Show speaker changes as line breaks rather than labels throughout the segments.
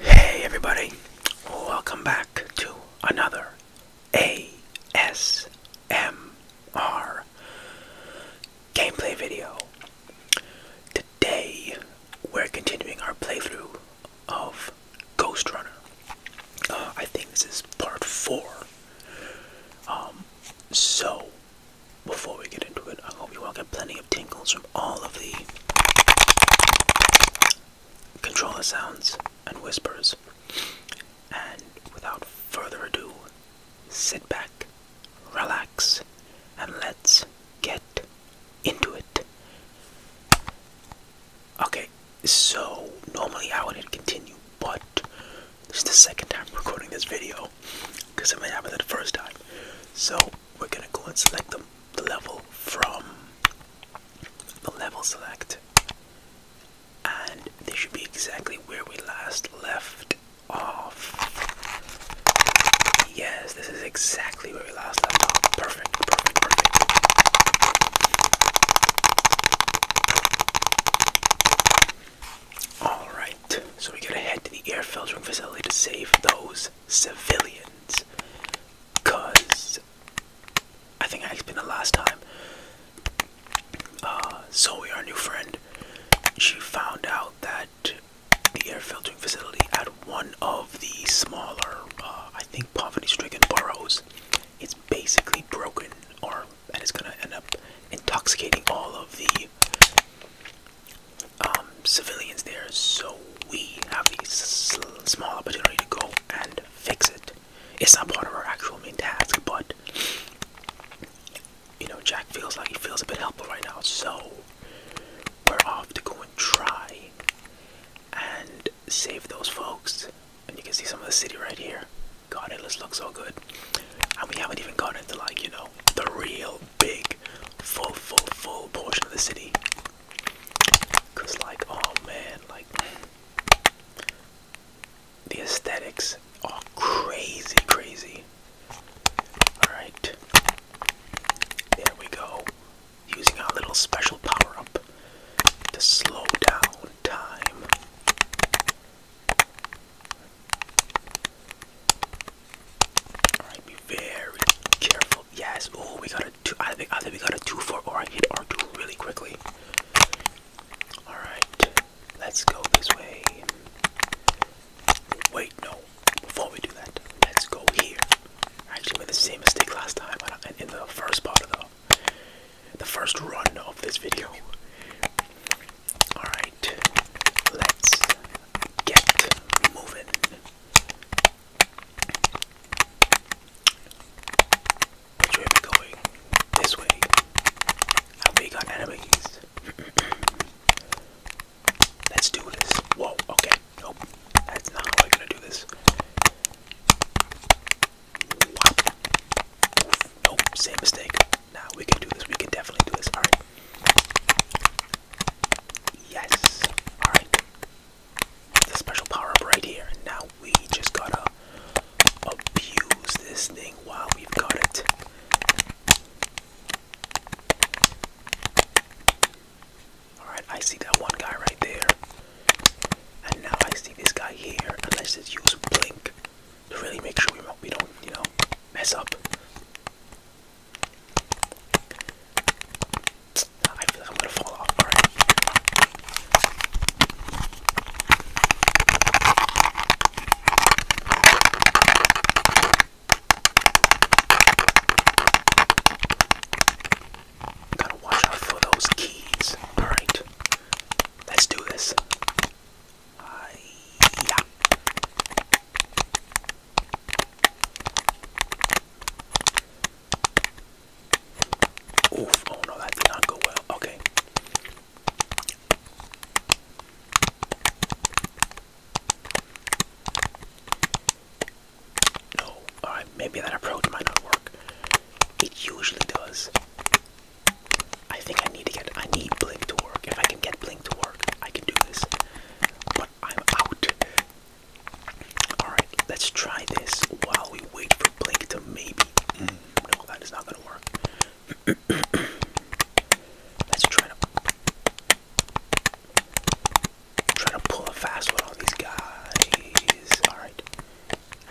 Hey everybody, welcome back to another ASMR gameplay video. Today we're continuing our playthrough of Ghost Runner. Uh, I think this is part four. Um, so before we get into it, I hope you all get plenty of tingles from all of the controller sounds and whispers. And without further ado, sit back, relax, and let's get into it. Okay, so normally I would hit continue, but this is the second time recording this video because it may happen the first time. So we're gonna go and select the, level from the level select, and this should be exactly where we last left off. Yes, this is exactly where we last left off. Perfect, perfect, perfect. All right, so we gotta head to the air filtering facility to save those civilians. Cause I think I explained the last time. Uh, Zoe, our new friend, she found out that the air filtering facility at one of the smaller, uh, I think, poverty-stricken boroughs, it's basically broken, or and it's gonna end up intoxicating all of the um, civilians there, so we have a small opportunity to go and fix it. It's not part of our actual main task, but you know, Jack feels like he feels a bit helpful right now, so we're off to go and try and save those folks. And you can see some of the city right here. God, it looks so good and we haven't even gone into like you know the real big full full full portion of the city because like oh man like the aesthetics are crazy crazy all right there we go using our little special power up to slow down time Alright, be very careful. Yes. Oh, we got a two. I think I think we got a two for or I hit R2 really quickly. Alright. Let's go this way. Wait, no. Before we do that, let's go here. I actually made the same mistake last time in the first part of the the first run of this video. Alright, let's get moving. Which way are going? This way. Have got enemies? let's do this. Whoa, okay. Nope. That's not how I'm gonna do this. same mistake. Now we can do this. We can definitely do this. All right. Yes. All right. The special power right here. Now we just gotta abuse this thing while we've got it. Alright, I see that one guy right there. And now I see this guy here. And let's just use blink to really make sure we, we don't, you know, mess up. I feel like I'm gonna fall off. Alright. Gotta watch out for those keys. Alright. Let's do this oh no, that did not go well. Okay. No, alright, maybe that approach might not work. It usually does. I think I need to get I need Blink to work. If I can get Blink to work, I can do this. But I'm out. Alright, let's try this while we wait for Blink to maybe no that is not gonna work. let's try to try to pull a fast one on these guys. Alright.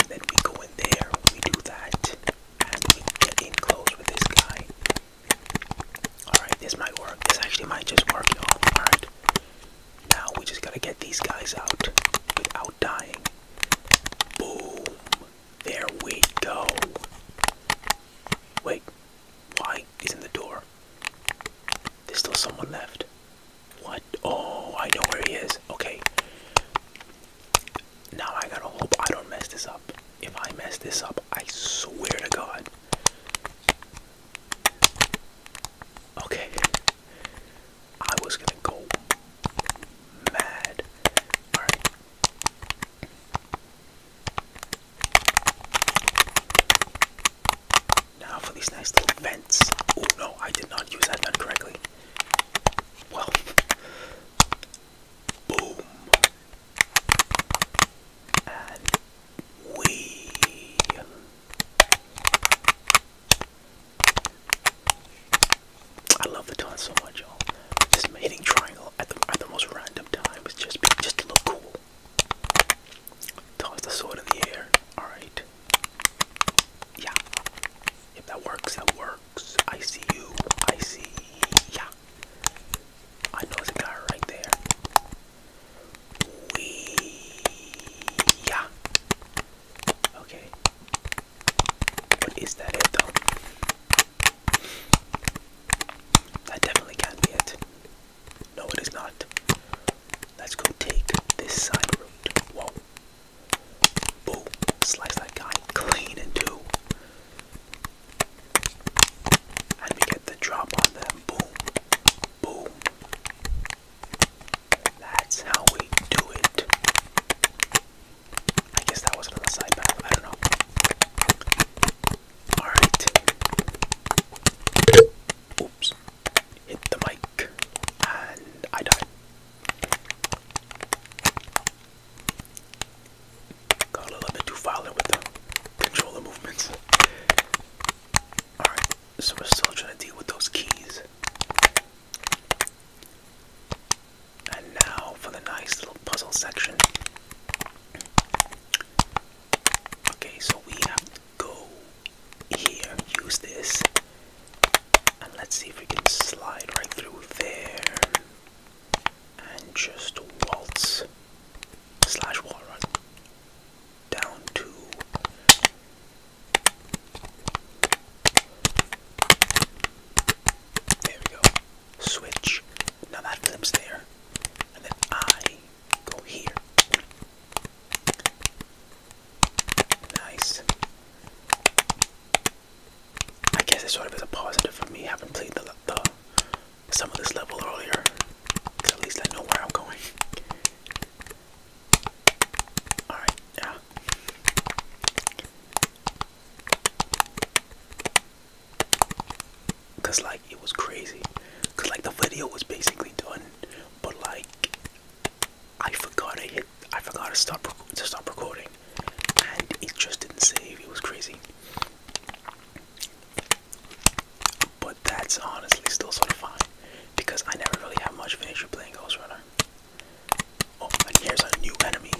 And then we go in there, we do that, and we get in close with this guy. Alright, this might work. This actually might just work, Alright. Now we just gotta get these guys out without dying. Boom. There we go. Wait, why is in the door? There's still someone left. What? Oh, I know where he is. Okay. Now I gotta hope I don't mess this up if I mess this up, I swear to God. Okay. I was gonna go mad. Alright. Now for these nice little vents. Oh no, I did not use that vent correctly. Well, boom and we I love the toss so much, y'all. Just hitting triangle at the at the most random time just just to look cool. Toss the sword in the air. All right. Yeah. If that works, that works. I see you. I see. Yeah. I know the guy right there. We yeah. Okay. But that it though? That definitely can't be it. No, it is not. Let's go take this side route. Whoa. Boom. Slice that guy clean in two. And we get the drop on them. Boom. Boom. That's how we do it. I guess that wasn't on the side path. I don't know. Alright. Oops. Hit the mic. And I died. Got a little bit too violent with the controller movements. Alright, so we're still trying to deal with those keys. And now for the nice little puzzle section. Okay, so we have to go here, use this, and let's see if we can slide right through there and just waltz slash wall run down to there we go switch now that flips there and then I go here nice I guess it sort of is a positive for me having played the the some of this level earlier. Cause at least I know where I'm going. Alright, yeah. Cause like it was crazy. Cause like the video was basically done, but like I forgot I hit I forgot to stop to stop recording and it just didn't save. It was crazy. But that's honestly still sort of fine because I never really have much of an playing Ghost Runner. Oh, and here's a new enemy.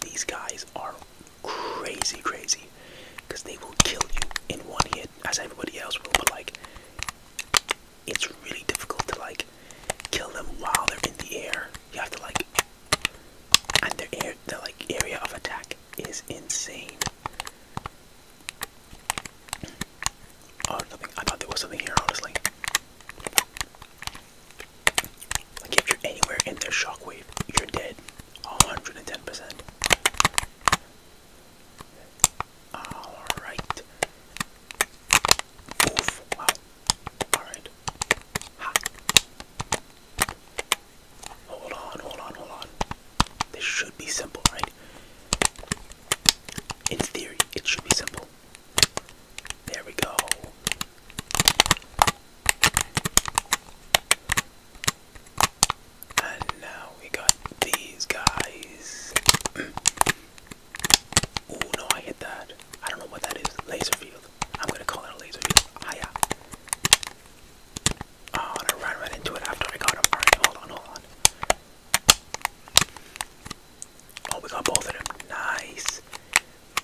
These guys are crazy, crazy because they will kill you in one hit as everybody else will, but like it's really difficult to like kill them while they're in the air. You have to like and their air their like area of attack is insane. Oh, nothing. I thought there was something here, honestly. Like, if you're anywhere in their shockwave, you're dead. 110%. Alright. Oof. Wow. Alright. Ha. Hold on, hold on, hold on. This should be simple, right? In theory, it should be simple. There we go. And now we got these guys. Ooh, no, I hit that. I don't know what that is. Laser field. I'm gonna call it a laser field. Ah, Oh, and I ran right into it after I got him. Alright, hold on, hold on. Oh, we got both of them. Nice.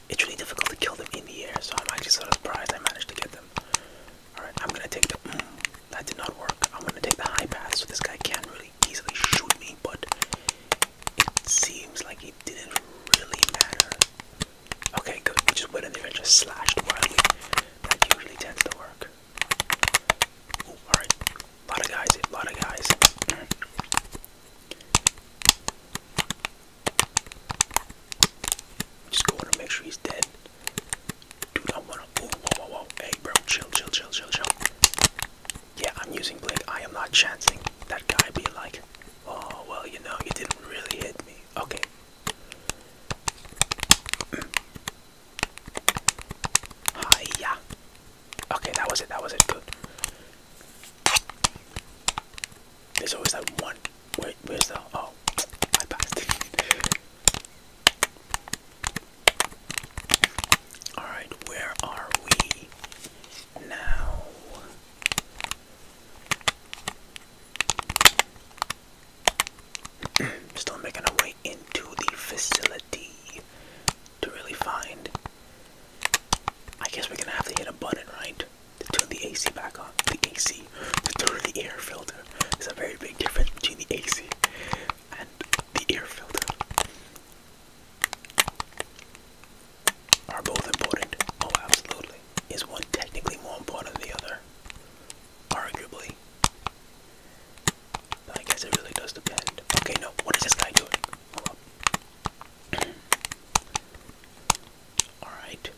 It's really difficult to kill them in the air, so I'm actually sort of surprised I managed to get them. Alright, I'm gonna take the. Mm, that did not work. I'm gonna take the high path so this guy can't really easily shoot me, but it seems like it didn't really matter. Okay, good. We just went in there and just slashed wildly. That usually tends to work. Ooh, alright. A lot of guys, a lot of guys. Just going to make sure he's dead. Dude, I wanna. Ooh, whoa, whoa, whoa. Hey, bro, chill, chill, chill, chill, chill. Yeah, I'm using Blake. I am not chancing that guy be like, oh, well, you know, you didn't really hit me. Okay, Hiya. Okay, that was it. That was it. Good. There's always that one. Wait, where's the? Oh, I passed. All right, where are we now? Still making our way into the facility to really find. I guess we're gonna have to hit a button, right? To turn the AC back on. The AC. To turn the air filter. There's a very big difference between the AC and the air filter. Are both important? Oh, absolutely. Is one technically more important than the other? Arguably. But I guess it really does depend. Okay, no. What is this guy doing? Alright.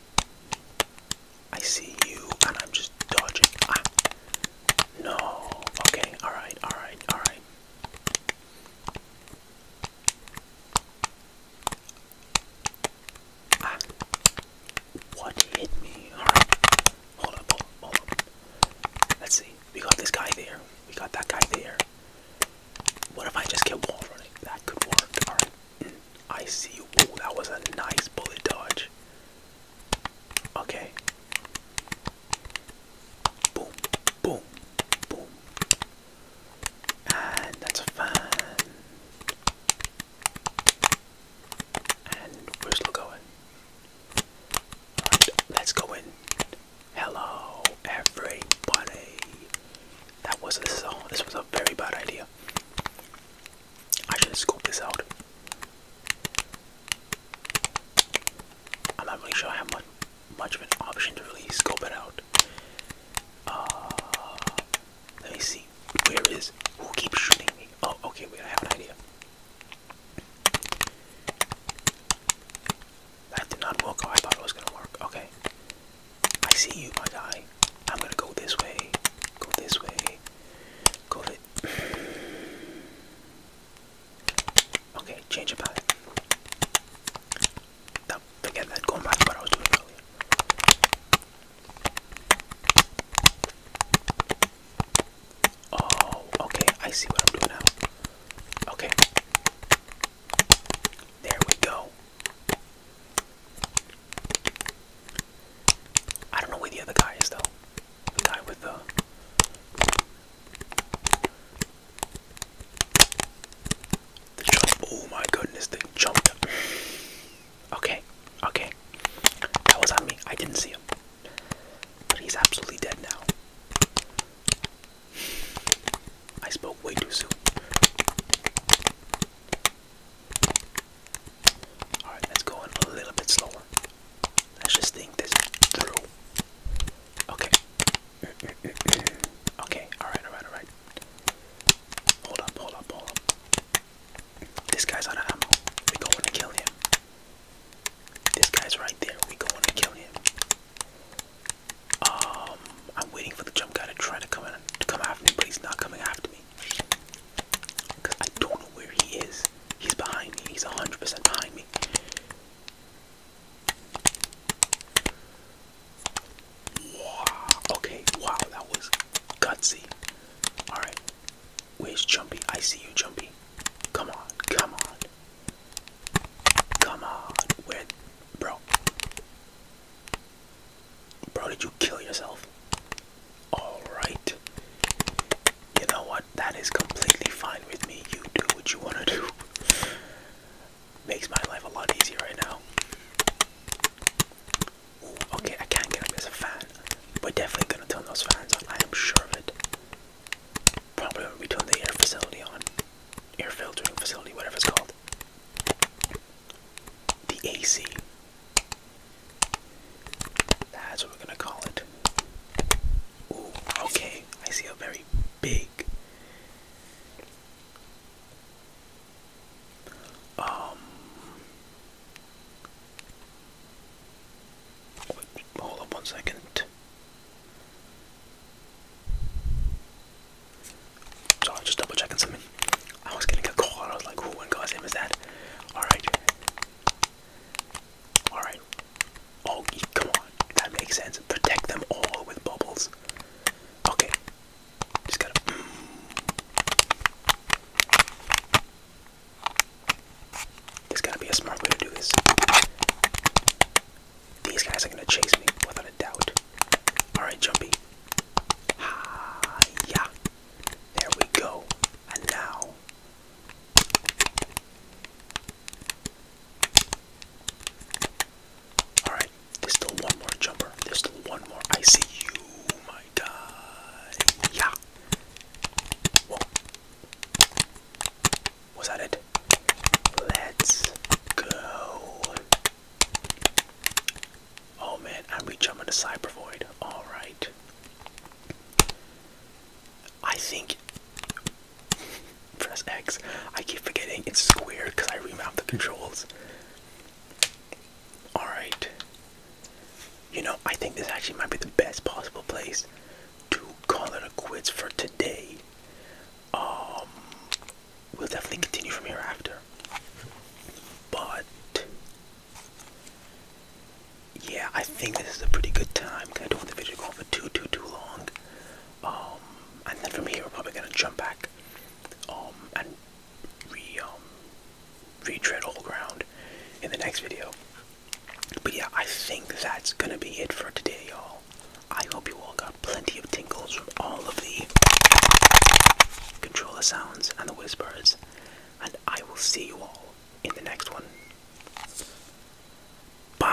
I see you, and I'm just dodging. Ah. No. Okay, alright, alright, alright. Ah. What hit me? Alright. Hold up, hold up, hold up. Let's see. We got this guy there. We got that guy there. What if I just get wall running? That could work. Alright. Mm, I see you. Ooh, that was a nice bullet dodge. Okay. Boom, boom, boom. And that's fun. And we're still going. let's go in. Hello, everybody. That was this is This was a very bad idea. I should scope this out. I'm not really sure I have much, much of an option to really scope it out. Uh, let me see. Where is who keeps shooting me? Oh, okay, wait, I have an idea. That did not work. Oh, I thought it was gonna work. Okay. I see you, my guy. I'm gonna go this way. Go this way. Go this Okay, change of path. forget that. Going back to what I was doing earlier. Oh, okay. I see what I'm doing now. Okay. There we go. I don't know where the other guy is though. The guy with the the jump. Oh my goodness! They jumped. Okay, okay. That was on me. I didn't see him. But he's absolutely dead now. I spoke way too soon. Alright, let's go in a little bit slower. Let's just think this through. Okay. okay, alright, alright, alright. Hold up, hold up, hold up. This guy's out of ammo. We're going to kill him. This guy's right there. We're going to kill him. Um, I'm waiting for the jump guy to try to come in, to come after me, but he's not coming after me. Cause I don't know where he is. He's behind me. He's 100% behind me. Wow. Okay, wow, that was gutsy. Alright. Where's Jumpy? I see you, Jumpy. Come on, come on. Come on. Where bro? Bro, did you kill yourself? Alright. You know what? That is completely fine with me. You do what you wanna do. Makes my life a lot easier right now. Okay, I can't get him as a fan. We're definitely gonna turn those fans on. I am sure of it. Probably when we turn the air facility on, air filtering facility, whatever it's called. The AC. That's what we're gonna call it. okay. I see a very big. Um, Hold on one second. Sorry, just double checking something. I was getting a call I was like, who in God's name is that? Alright. Alright. Oh, come on. That makes sense. Protect them all with bubbles. Okay. Just gotta. There's gotta be a smart way to do this. These guys are gonna chase me without a doubt. Alright, Jumpy. yeah. There we go. And now. Alright, there's still one more jumper. There's still one more. I see you, yeah. Was that it? Let's go. Oh man, I'm rejumping to Cyber Void. Alright. I think. Press X. I keep forgetting it's square because I remapped the controls. Alright. You know, I think this actually might be the best possible place to call it a quits for today. Um we'll definitely continue from here after. But yeah, I think this is a pretty good time. I don't want the video going for too too too long. Um and then from here we're probably gonna jump back um and re um retread all ground in the next video. But yeah, I think that's gonna be it for today, y'all. I hope you all got plenty of tingles from all of the controller sounds and the whispers, and I will see you all in the next one. Bye.